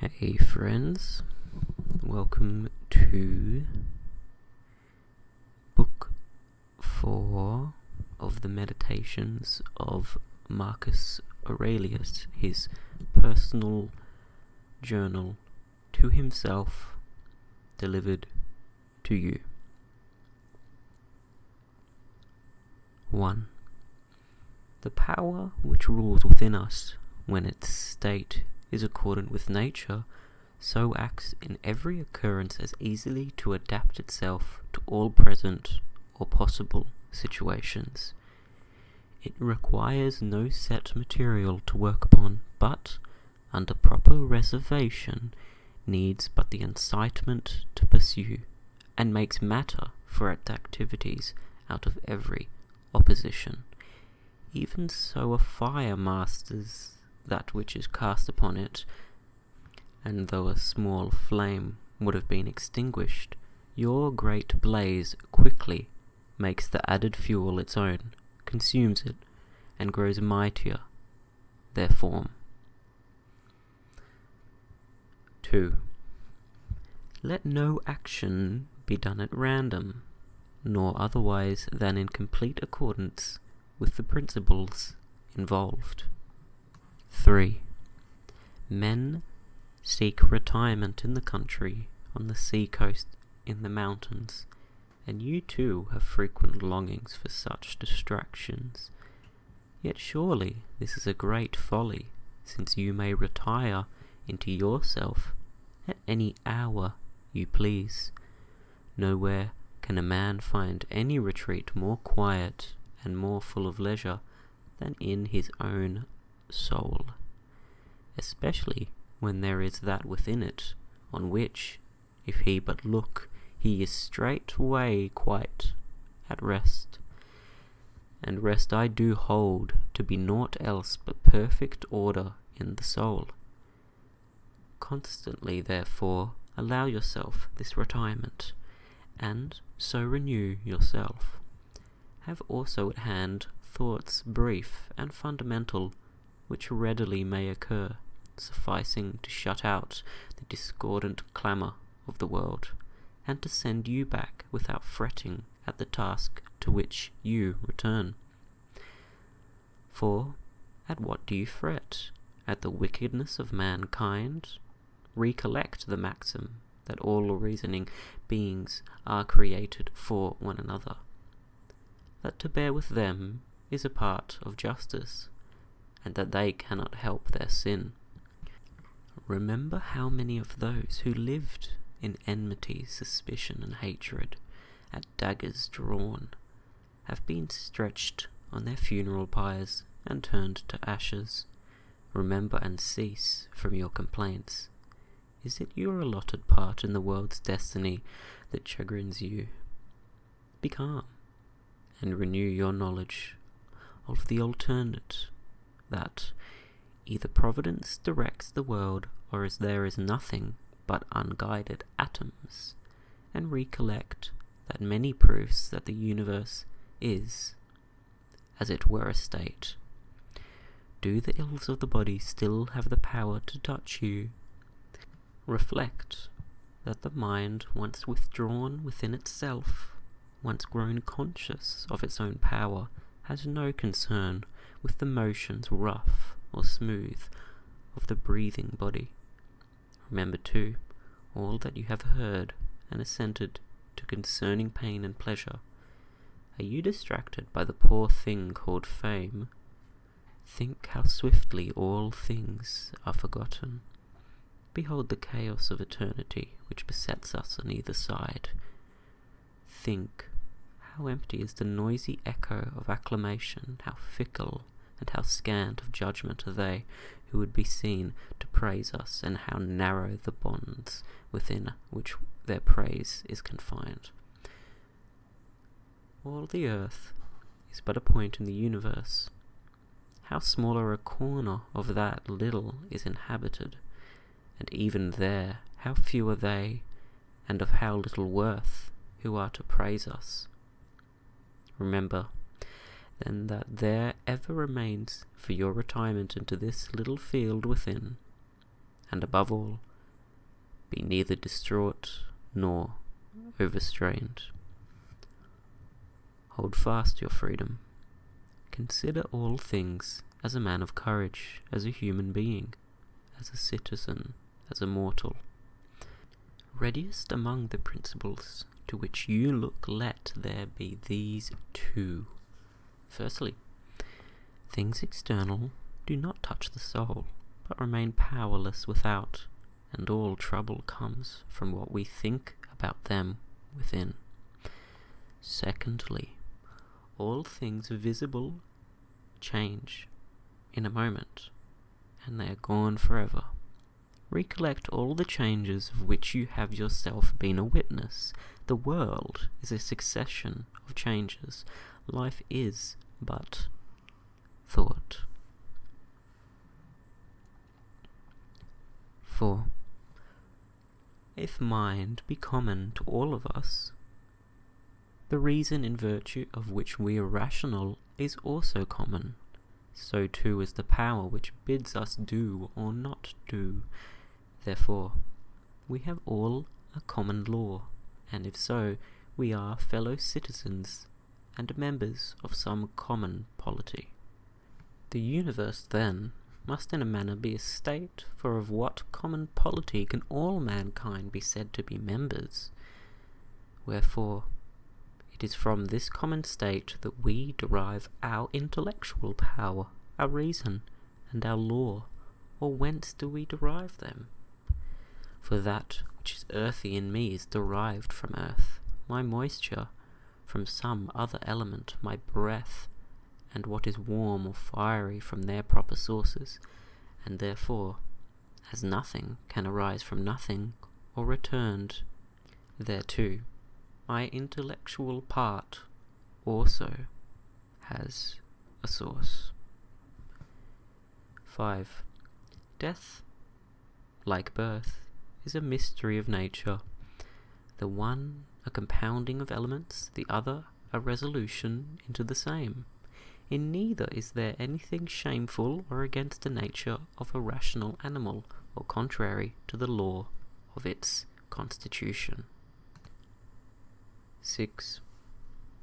Hey friends, welcome to book four of the meditations of Marcus Aurelius, his personal journal to himself delivered to you. 1. The power which rules within us, when its state is accordant with nature, so acts in every occurrence as easily to adapt itself to all present or possible situations. It requires no set material to work upon, but, under proper reservation, needs but the incitement to pursue and makes matter for its activities out of every opposition. Even so, a fire masters that which is cast upon it, and though a small flame would have been extinguished, your great blaze quickly makes the added fuel its own, consumes it, and grows mightier, their form. 2. Let no action be done at random, nor otherwise than in complete accordance with the principles involved. 3. Men seek retirement in the country, on the sea coast, in the mountains, and you too have frequent longings for such distractions. Yet surely this is a great folly, since you may retire into yourself at any hour you please. Nowhere can a man find any retreat more quiet and more full of leisure than in his own soul, especially when there is that within it on which, if he but look, he is straightway quite at rest and rest I do hold to be naught else but perfect order in the soul. Constantly, therefore, allow yourself this retirement, and so renew yourself. Have also at hand thoughts brief and fundamental, which readily may occur, sufficing to shut out the discordant clamour of the world, and to send you back without fretting at the task to which you return. For at what do you fret? At the wickedness of mankind? Recollect the maxim that all reasoning beings are created for one another, that to bear with them is a part of justice, and that they cannot help their sin. Remember how many of those who lived in enmity, suspicion, and hatred, at daggers drawn, have been stretched on their funeral pyres and turned to ashes. Remember and cease from your complaints. Is it your allotted part in the world's destiny that chagrins you? Be calm, and renew your knowledge of the alternate that either providence directs the world or as there is nothing but unguided atoms, and recollect that many proofs that the universe is, as it were, a state. Do the ills of the body still have the power to touch you? Reflect that the mind, once withdrawn within itself, once grown conscious of its own power, has no concern with the motions rough or smooth of the breathing body. Remember, too, all that you have heard and assented to concerning pain and pleasure. Are you distracted by the poor thing called fame? Think how swiftly all things are forgotten. Behold the chaos of eternity which besets us on either side, Think, how empty is the noisy echo of acclamation, how fickle and how scant of judgment are they who would be seen to praise us, and how narrow the bonds within which their praise is confined. All the earth is but a point in the universe. How smaller a corner of that little is inhabited, and even there how few are they, and of how little worth, who are to praise us. Remember, then, that there ever remains for your retirement into this little field within, and above all, be neither distraught nor overstrained. Hold fast your freedom, Consider all things as a man of courage, as a human being, as a citizen, as a mortal. Readiest among the principles to which you look, let there be these two. Firstly, things external do not touch the soul, but remain powerless without, and all trouble comes from what we think about them within. Secondly, all things visible change in a moment, and they are gone for ever. Recollect all the changes of which you have yourself been a witness. The world is a succession of changes. Life is but thought. 4 if mind be common to all of us, the reason in virtue of which we are rational is also common, so too is the power which bids us do or not do. Therefore, we have all a common law, and if so, we are fellow citizens and members of some common polity. The universe, then, must in a manner be a state, for of what common polity can all mankind be said to be members? Wherefore, it is from this common state that we derive our intellectual power, our reason, and our law, or whence do we derive them? For that which is earthy in me is derived from earth, my moisture, from some other element, my breath, and what is warm or fiery from their proper sources, and therefore, as nothing can arise from nothing or returned thereto, my intellectual part also has a source. 5. Death, like birth, is a mystery of nature, the one a compounding of elements, the other a resolution into the same. In neither is there anything shameful or against the nature of a rational animal, or contrary to the law of its constitution. 6.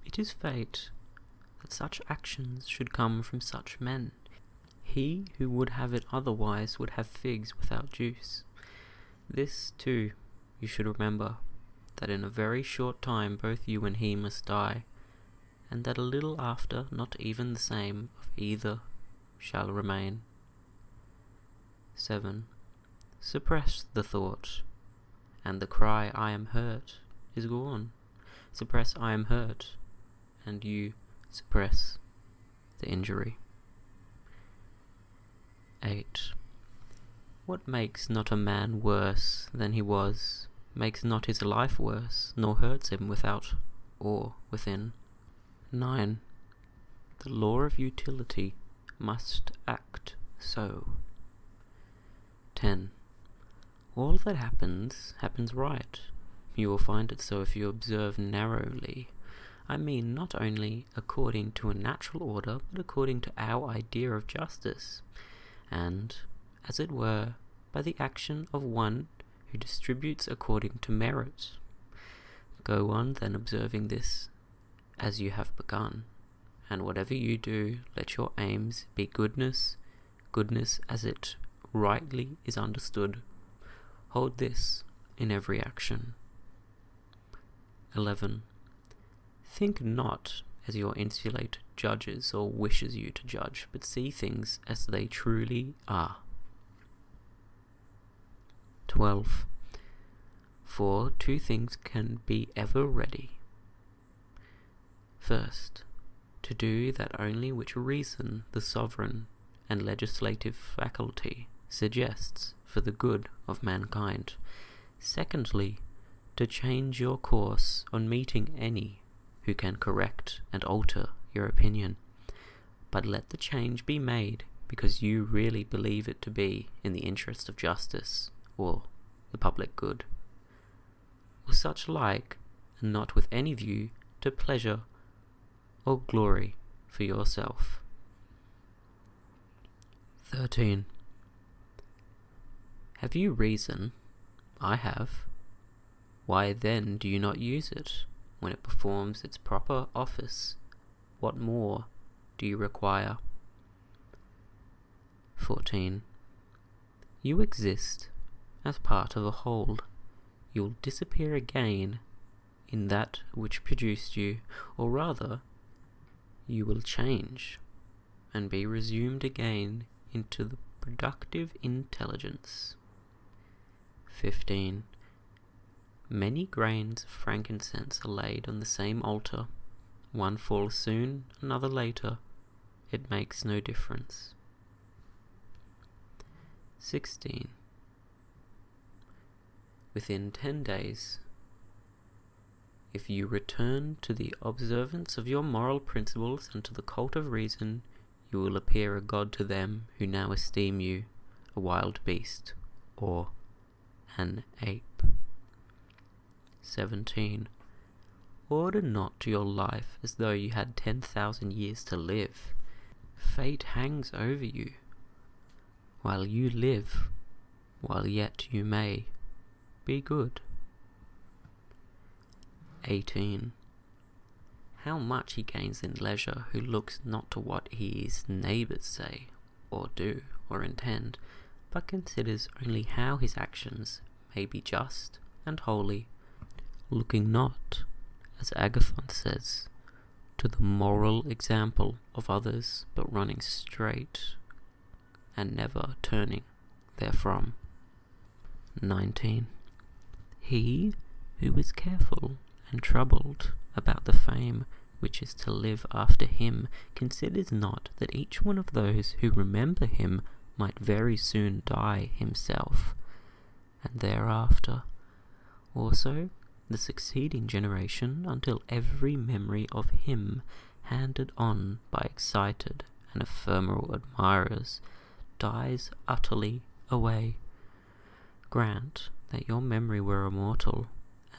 It is fate that such actions should come from such men. He who would have it otherwise would have figs without juice. This, too, you should remember that in a very short time both you and he must die, and that a little after not even the same of either shall remain. 7. Suppress the thought, and the cry I am hurt is gone. Suppress I am hurt, and you suppress the injury. 8. What makes not a man worse than he was, makes not his life worse, nor hurts him without or within. 9. The law of utility must act so. 10. All that happens, happens right. You will find it so if you observe narrowly. I mean not only according to a natural order, but according to our idea of justice, and, as it were, by the action of one who distributes according to merits. Go on then observing this as you have begun, and whatever you do, let your aims be goodness, goodness as it rightly is understood. Hold this in every action. 11. Think not as your intellect judges or wishes you to judge, but see things as they truly are. 12. For two things can be ever ready. First, to do that only which reason the sovereign and legislative faculty suggests for the good of mankind. Secondly, to change your course on meeting any who can correct and alter your opinion. But let the change be made because you really believe it to be in the interest of justice or the public good. Or such like, and not with any view to pleasure or glory for yourself. 13. Have you reason? I have. Why then do you not use it when it performs its proper office? What more do you require? 14. You exist as part of a whole. You'll disappear again in that which produced you, or rather, you will change and be resumed again into the productive intelligence. 15. Many grains of frankincense are laid on the same altar. One falls soon, another later. It makes no difference. 16. Within 10 days, if you return to the observance of your moral principles and to the cult of reason, you will appear a god to them who now esteem you a wild beast or an ape. 17. Order not to your life as though you had 10,000 years to live. Fate hangs over you while you live, while yet you may, be good. 18. How much he gains in leisure who looks not to what his neighbours say, or do, or intend, but considers only how his actions may be just and holy, looking not, as Agathon says, to the moral example of others, but running straight and never turning therefrom. 19. He who is careful and troubled about the fame which is to live after him considers not that each one of those who remember him might very soon die himself, and thereafter also the succeeding generation until every memory of him handed on by excited and ephemeral admirers dies utterly away. Grant that your memory were immortal,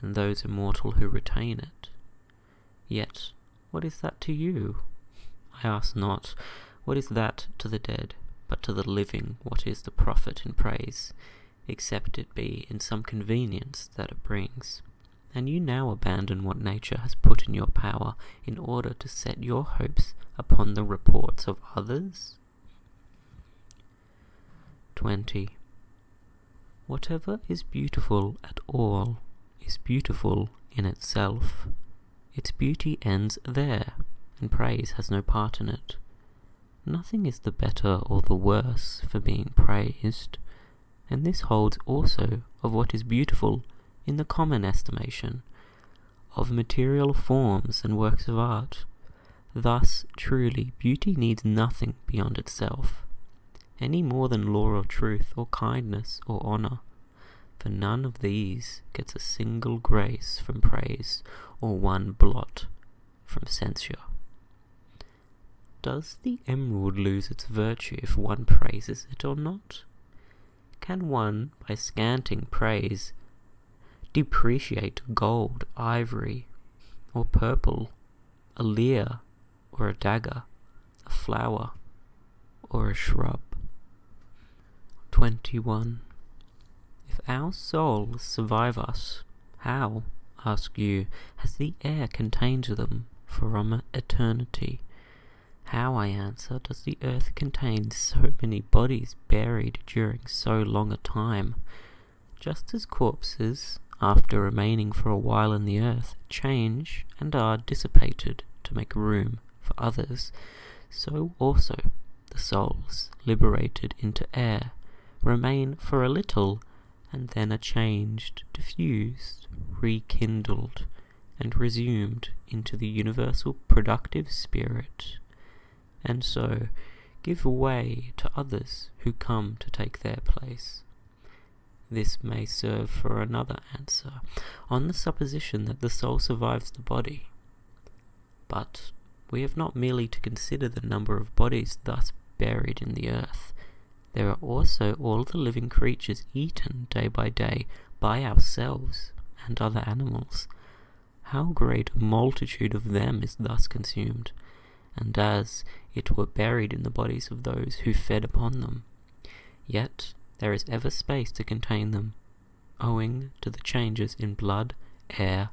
and those immortal who retain it. Yet, what is that to you? I ask not, what is that to the dead, but to the living what is the profit in praise? except it be in some convenience that it brings. And you now abandon what nature has put in your power in order to set your hopes upon the reports of others? 20. Whatever is beautiful at all is beautiful in itself. Its beauty ends there, and praise has no part in it. Nothing is the better or the worse for being praised, and this holds also of what is beautiful in the common estimation, of material forms and works of art. Thus, truly, beauty needs nothing beyond itself, any more than law or truth or kindness or honour, for none of these gets a single grace from praise or one blot from censure. Does the emerald lose its virtue if one praises it or not? Can one, by scanting praise, depreciate gold, ivory, or purple, a leer, or a dagger, a flower, or a shrub? 21. If our souls survive us, how, ask you, has the air contained them from eternity? How, I answer, does the earth contain so many bodies buried during so long a time? Just as corpses, after remaining for a while in the earth, change and are dissipated to make room for others, so also the souls, liberated into air, remain for a little and then are changed, diffused, rekindled, and resumed into the universal productive spirit, and so give way to others who come to take their place. This may serve for another answer, on the supposition that the soul survives the body. But we have not merely to consider the number of bodies thus buried in the earth, there are also all the living creatures eaten day by day by ourselves and other animals. How great a multitude of them is thus consumed, and as it were buried in the bodies of those who fed upon them. Yet there is ever space to contain them, owing to the changes in blood, air,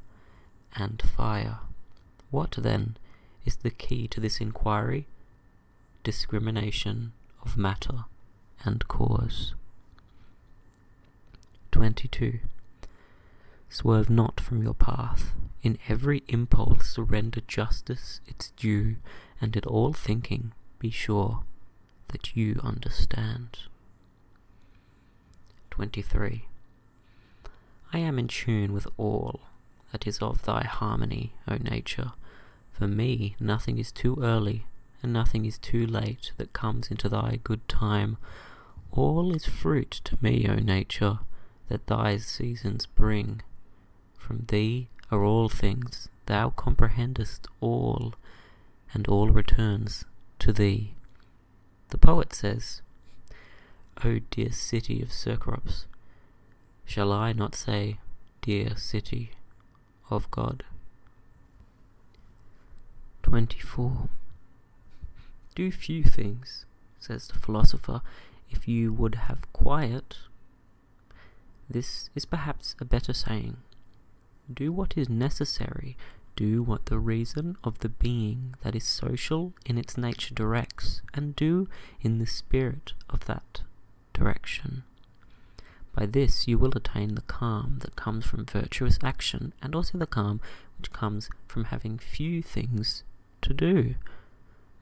and fire. What, then, is the key to this inquiry? Discrimination of matter and cause. 22. Swerve not from your path. In every impulse surrender justice its due, and in all thinking be sure that you understand. 23. I am in tune with all that is of thy harmony, O nature. For me, nothing is too early, and nothing is too late that comes into thy good time. All is fruit to me, O nature, that thy seasons bring. From thee are all things, thou comprehendest all, and all returns to thee. The poet says, O dear city of Cercops, Shall I not say, Dear city of God? 24. Do few things, says the philosopher, if you would have quiet. This is perhaps a better saying. Do what is necessary, do what the reason of the being that is social in its nature directs, and do in the spirit of that direction. By this you will attain the calm that comes from virtuous action and also the calm which comes from having few things to do.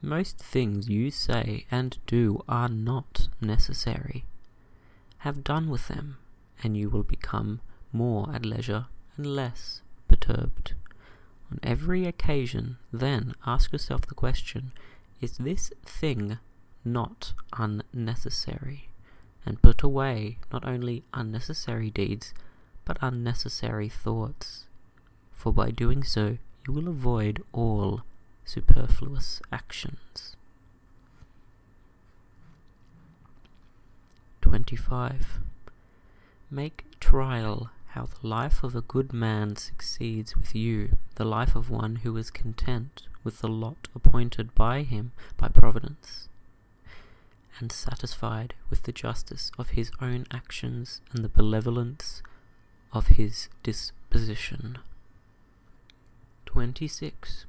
Most things you say and do are not necessary. Have done with them, and you will become more at leisure and less perturbed. On every occasion, then, ask yourself the question Is this thing not unnecessary? And put away not only unnecessary deeds, but unnecessary thoughts. For by doing so, you will avoid all superfluous actions. 25. Make trial how the life of a good man succeeds with you, the life of one who is content with the lot appointed by him by providence, and satisfied with the justice of his own actions and the benevolence of his disposition. 26.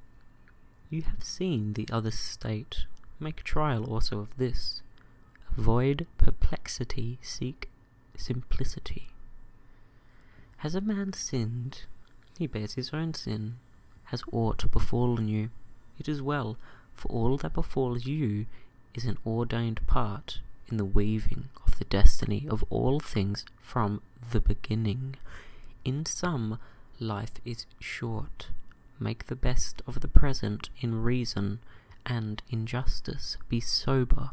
You have seen the other state, make trial also of this. Avoid perplexity, seek simplicity. Has a man sinned? He bears his own sin. Has aught befallen you? It is well, for all that befalls you is an ordained part in the weaving of the destiny of all things from the beginning. In sum, life is short. Make the best of the present in reason, and injustice, be sober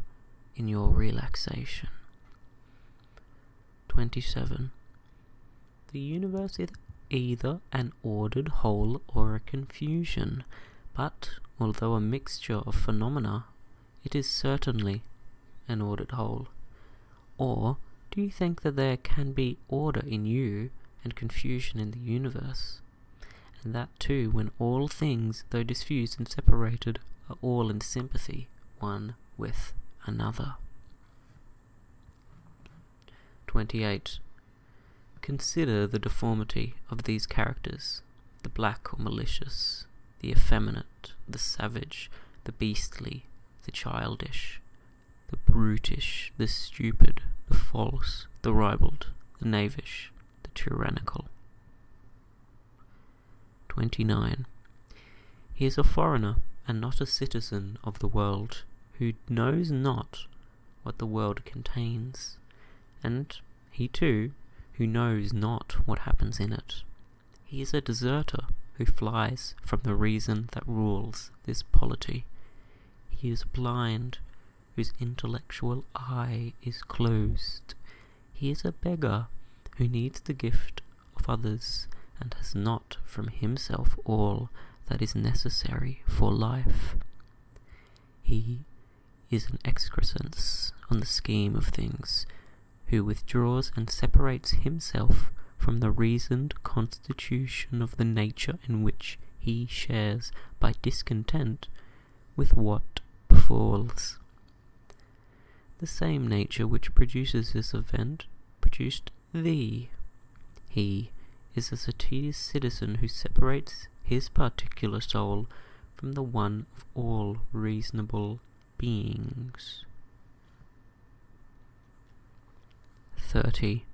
in your relaxation. 27. The universe is either an ordered whole or a confusion, but although a mixture of phenomena, it is certainly an ordered whole. Or do you think that there can be order in you and confusion in the universe? and that too when all things, though diffused and separated, are all in sympathy one with another. 28. Consider the deformity of these characters, the black or malicious, the effeminate, the savage, the beastly, the childish, the brutish, the stupid, the false, the ribald, the knavish, the tyrannical. 29. He is a foreigner and not a citizen of the world, who knows not what the world contains, and he too, who knows not what happens in it. He is a deserter who flies from the reason that rules this polity. He is blind whose intellectual eye is closed. He is a beggar who needs the gift of others and has not from himself all that is necessary for life. He is an excrescence on the scheme of things, who withdraws and separates himself from the reasoned constitution of the nature in which he shares by discontent with what befalls. The same nature which produces this event produced thee. He is a satious citizen who separates his particular soul from the one of all reasonable beings. Thirty,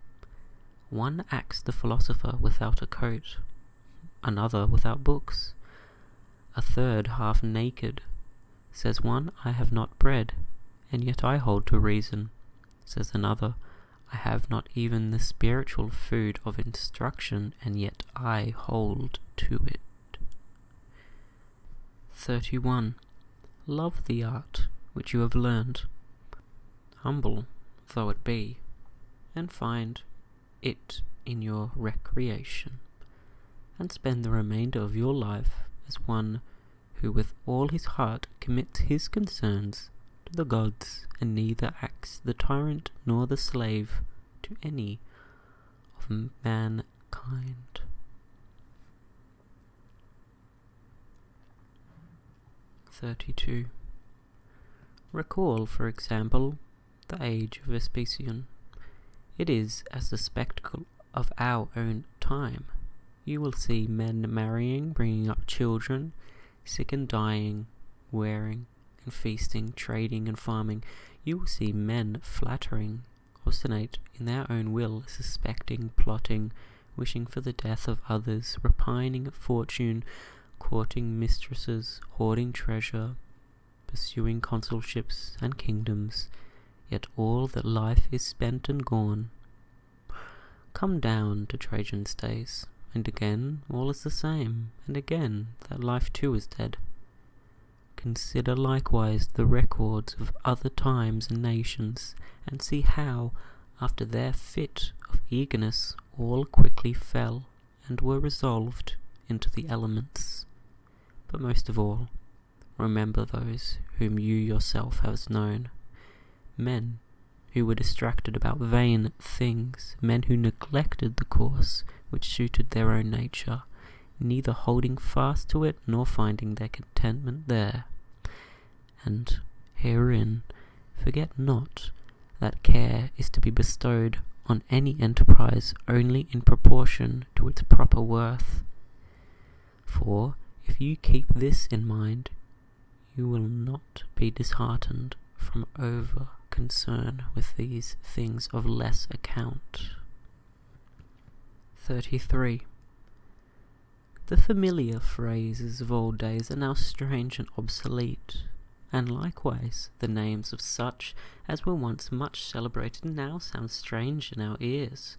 one acts the philosopher without a coat another without books, a third half naked. Says one, I have not bread, and yet I hold to reason. Says another, I have not even the spiritual food of instruction, and yet I hold to it. 31. Love the art which you have learned, humble though it be, and find it in your recreation, and spend the remainder of your life as one who with all his heart commits his concerns to the gods, and neither acts the tyrant nor the slave to any of mankind. Thirty two. Recall, for example, the age of Vespasian. It is as the spectacle of our own time. You will see men marrying, bringing up children, sick and dying, wearing and feasting, trading and farming. You will see men flattering, ostentate in their own will, suspecting, plotting, wishing for the death of others, repining at fortune, courting mistresses, hoarding treasure, pursuing consulships and kingdoms, yet all that life is spent and gone. Come down to Trajan's days, and again all is the same, and again that life too is dead. Consider likewise the records of other times and nations, and see how, after their fit of eagerness, all quickly fell and were resolved into the elements. But most of all, remember those whom you yourself have known, men who were distracted about vain things, men who neglected the course which suited their own nature, neither holding fast to it nor finding their contentment there. And herein, forget not that care is to be bestowed on any enterprise only in proportion to its proper worth. For if you keep this in mind, you will not be disheartened from over concern with these things of less account. 33. The familiar phrases of old days are now strange and obsolete and likewise the names of such as were once much celebrated now sound strange in our ears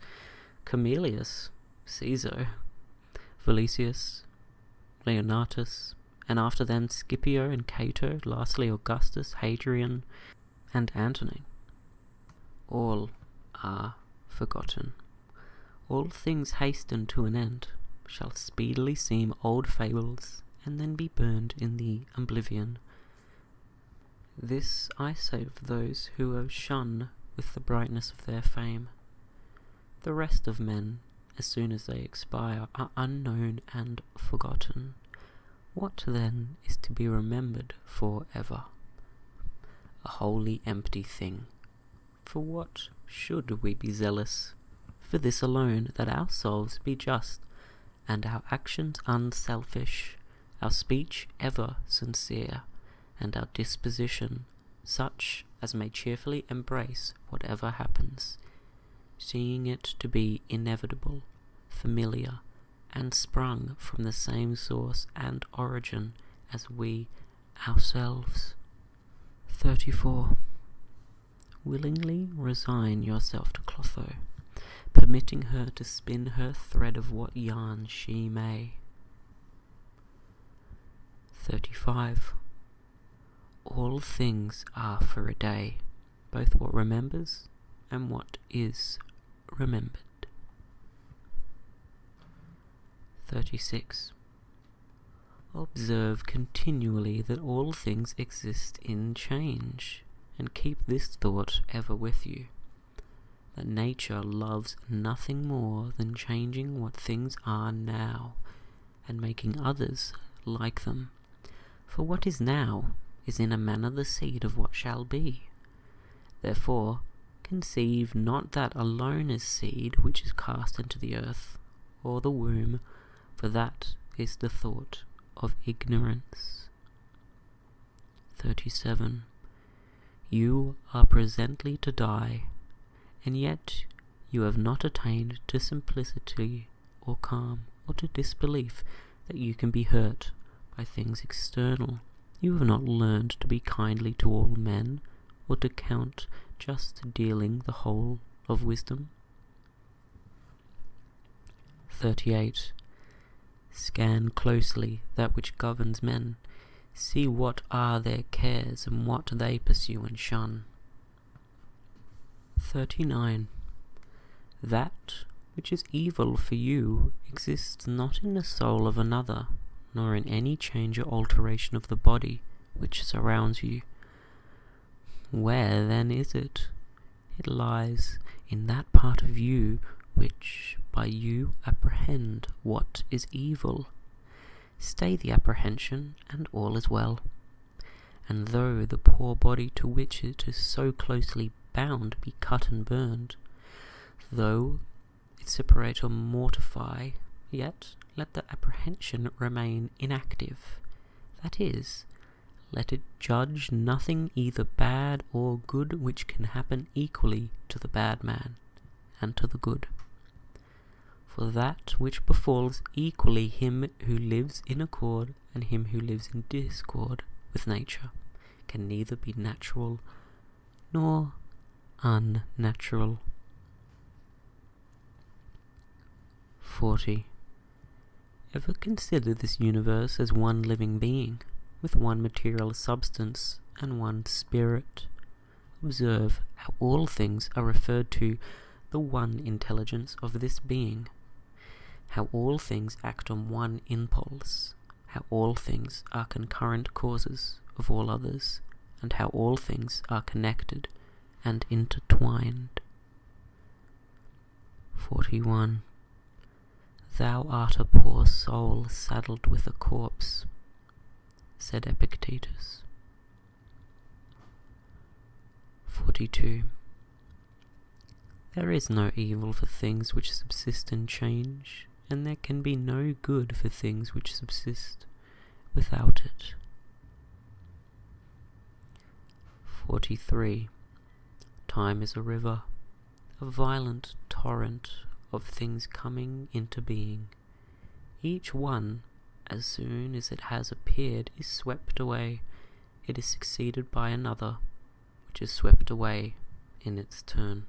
Camillus, Caesar, Valesius, Leonatus, and after them Scipio and Cato, lastly Augustus, Hadrian, and Antony. All are forgotten. All things hasten to an end, shall speedily seem old fables and then be burned in the oblivion. This I save for those who are shone with the brightness of their fame. The rest of men, as soon as they expire, are unknown and forgotten. What then is to be remembered for ever? A wholly empty thing. For what should we be zealous for this alone, that our souls be just, and our actions unselfish, our speech ever sincere, and our disposition such as may cheerfully embrace whatever happens, seeing it to be inevitable, familiar, and sprung from the same source and origin as we ourselves. 34. Willingly resign yourself to Clotho, permitting her to spin her thread of what yarn she may. 35. All things are for a day, both what remembers and what is remembered. 36. Observe continually that all things exist in change, and keep this thought ever with you that nature loves nothing more than changing what things are now and making others like them. For what is now is in a manner the seed of what shall be. Therefore, conceive not that alone is seed which is cast into the earth, or the womb, for that is the thought of ignorance. 37. You are presently to die, and yet you have not attained to simplicity or calm or to disbelief that you can be hurt by things external. You have not learned to be kindly to all men, or to count just dealing the whole of wisdom. 38. Scan closely that which governs men, see what are their cares and what they pursue and shun. 39. That which is evil for you exists not in the soul of another, nor in any change or alteration of the body which surrounds you. Where then is it? It lies in that part of you which by you apprehend what is evil. Stay the apprehension, and all is well. And though the poor body to which it is so closely bound be cut and burned, though it separate or mortify, yet let the apprehension remain inactive. That is, let it judge nothing either bad or good, which can happen equally to the bad man and to the good. For that which befalls equally him who lives in accord and him who lives in discord with nature can neither be natural nor unnatural. 40. Ever consider this universe as one living being, with one material substance and one spirit? Observe how all things are referred to the one intelligence of this being, how all things act on one impulse, how all things are concurrent causes of all others, and how all things are connected and intertwined. 41. Thou art a poor soul saddled with a corpse, said Epictetus. 42. There is no evil for things which subsist in change, and there can be no good for things which subsist without it. 43. Time is a river, a violent torrent of things coming into being. Each one, as soon as it has appeared, is swept away. It is succeeded by another, which is swept away in its turn.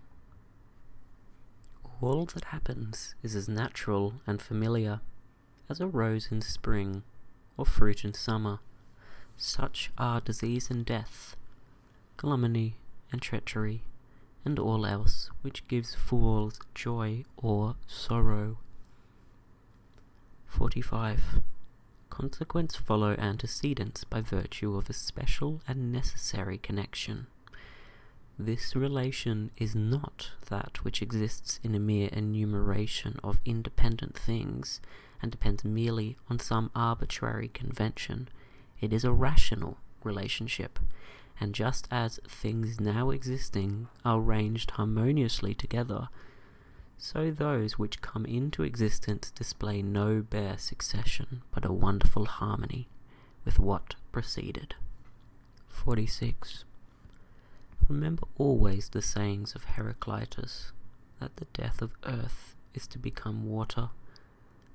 All that happens is as natural and familiar as a rose in spring, or fruit in summer. Such are disease and death, calumny and treachery, and all else which gives fools joy or sorrow. 45. Consequents follow antecedents by virtue of a special and necessary connection. This relation is not that which exists in a mere enumeration of independent things, and depends merely on some arbitrary convention. It is a rational relationship, and just as things now existing are ranged harmoniously together, so those which come into existence display no bare succession, but a wonderful harmony with what preceded. 46. Remember always the sayings of Heraclitus, that the death of earth is to become water,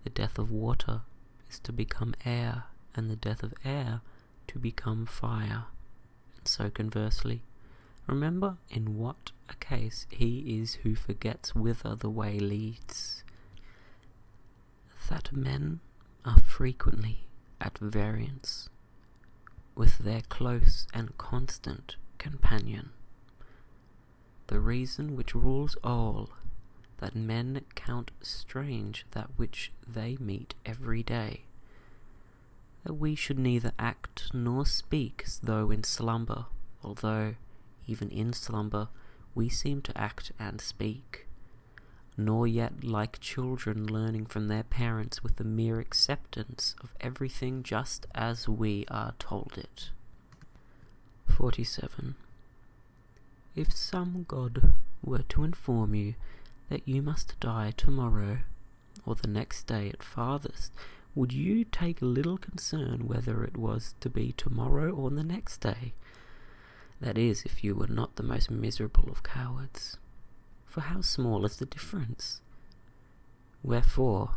the death of water is to become air, and the death of air to become fire. And so conversely, remember in what a case he is who forgets whither the way leads. That men are frequently at variance with their close and constant companion. The reason which rules all, that men count strange that which they meet every day, that we should neither act nor speak though in slumber, although even in slumber we seem to act and speak, nor yet like children learning from their parents with the mere acceptance of everything just as we are told it. 47. If some god were to inform you that you must die tomorrow, or the next day at farthest, would you take little concern whether it was to be tomorrow or the next day? That is, if you were not the most miserable of cowards. For how small is the difference? Wherefore,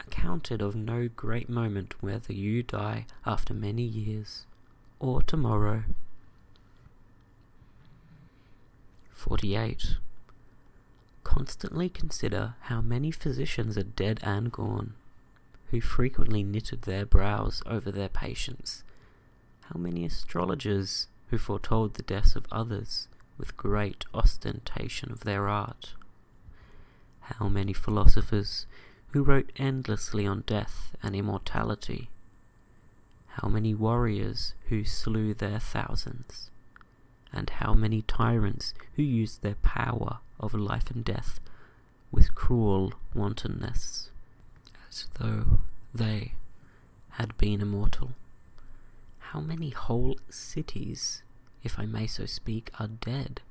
account it of no great moment whether you die after many years, or to-morrow. 48. Constantly consider how many physicians are dead and gone, who frequently knitted their brows over their patients, how many astrologers who foretold the deaths of others with great ostentation of their art. How many philosophers who wrote endlessly on death and immortality. How many warriors who slew their thousands. And how many tyrants who used their power of life and death with cruel wantonness, as though they had been immortal. How many whole cities, if I may so speak, are dead?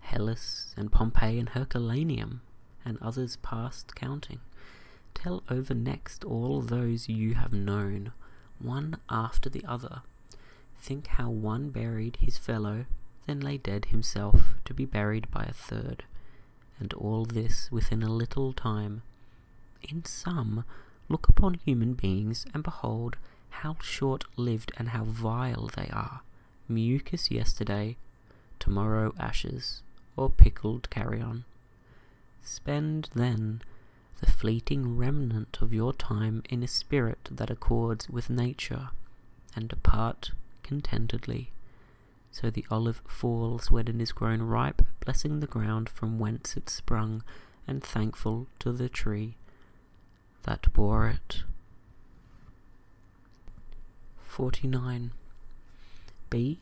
Hellas and Pompeii and Herculaneum, and others past counting. Tell over next all those you have known, one after the other. Think how one buried his fellow, then lay dead himself, to be buried by a third, and all this within a little time, in sum, look upon human beings and behold how short lived and how vile they are. Mucus yesterday, tomorrow ashes, or pickled carrion. Spend, then, the fleeting remnant of your time in a spirit that accords with nature, and depart contentedly. So the olive falls when it is grown ripe, blessing the ground from whence it sprung, and thankful to the tree that bore it. 49. B.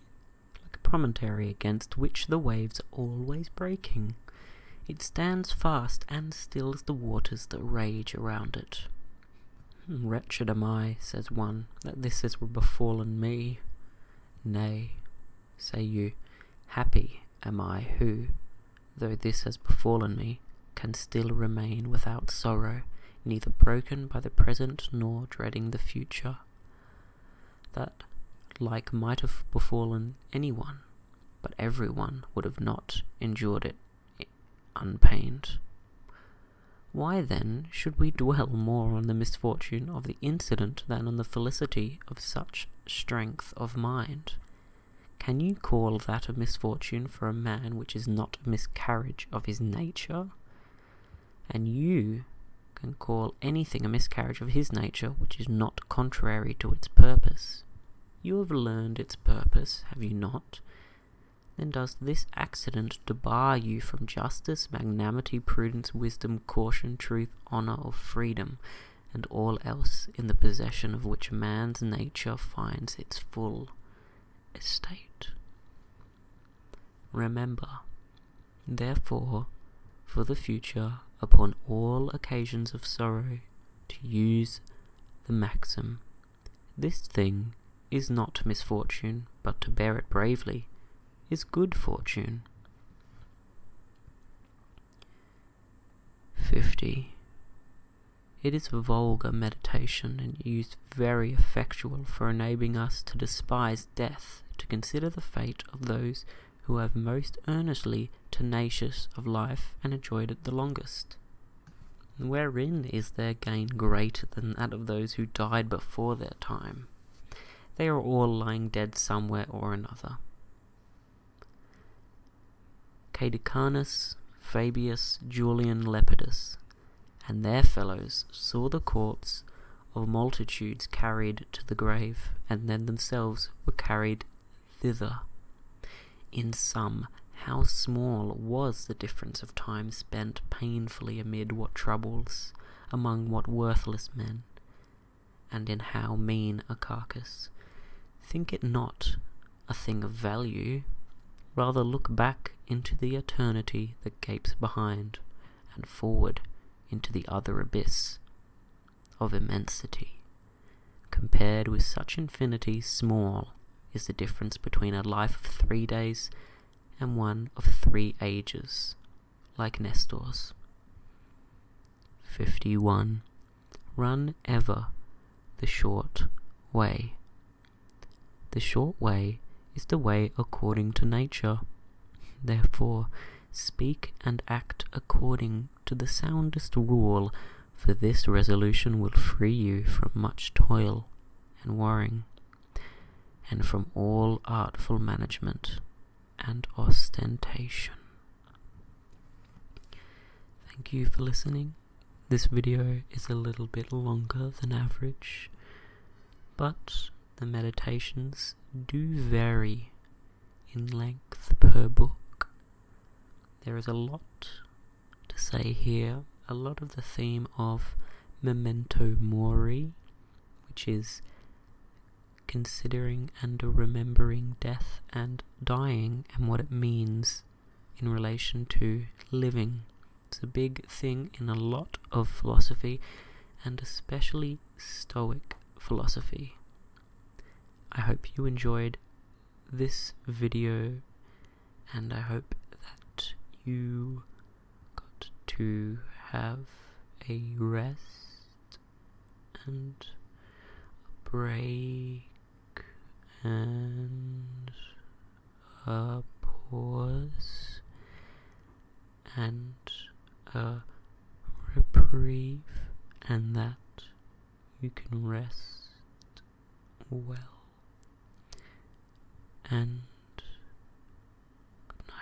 Like a promontory against which the waves are always breaking. It stands fast and stills the waters that rage around it. Hmm, wretched am I, says one, that this has befallen me. Nay, Say you, Happy am I who, though this has befallen me, can still remain without sorrow, neither broken by the present nor dreading the future. That like might have befallen any one, but every one would have not endured it eh, unpained. Why then should we dwell more on the misfortune of the incident than on the felicity of such strength of mind. Can you call that a misfortune for a man which is not a miscarriage of his nature? And you can call anything a miscarriage of his nature which is not contrary to its purpose. You have learned its purpose, have you not? Then does this accident debar you from justice, magnanimity, prudence, wisdom, caution, truth, honour, or freedom? and all else in the possession of which man's nature finds its full estate. Remember, therefore, for the future, upon all occasions of sorrow, to use the maxim This thing is not misfortune, but to bear it bravely is good fortune. 50. It is a vulgar meditation and used very effectual for enabling us to despise death, to consider the fate of those who have most earnestly tenacious of life and enjoyed it the longest. Wherein is their gain greater than that of those who died before their time? They are all lying dead somewhere or another. Caeducanus, Fabius, Julian Lepidus, and their fellows saw the corpse of multitudes carried to the grave, and then themselves were carried thither. In sum, how small was the difference of time spent painfully amid what troubles, among what worthless men, and in how mean a carcass. Think it not a thing of value, rather look back into the eternity that gapes behind, and forward into the other abyss of immensity. Compared with such infinity, small is the difference between a life of three days and one of three ages, like Nestor's. 51. Run ever the short way. The short way is the way according to nature. Therefore, speak and act according to the soundest rule, for this resolution will free you from much toil and worrying, and from all artful management and ostentation. Thank you for listening. This video is a little bit longer than average, but the meditations do vary in length per book. There is a lot to say here, a lot of the theme of memento mori, which is considering and remembering death and dying and what it means in relation to living. It's a big thing in a lot of philosophy, and especially Stoic philosophy. I hope you enjoyed this video, and I hope that you got to have a rest and a break and a pause and a reprieve, and that you can rest well. And good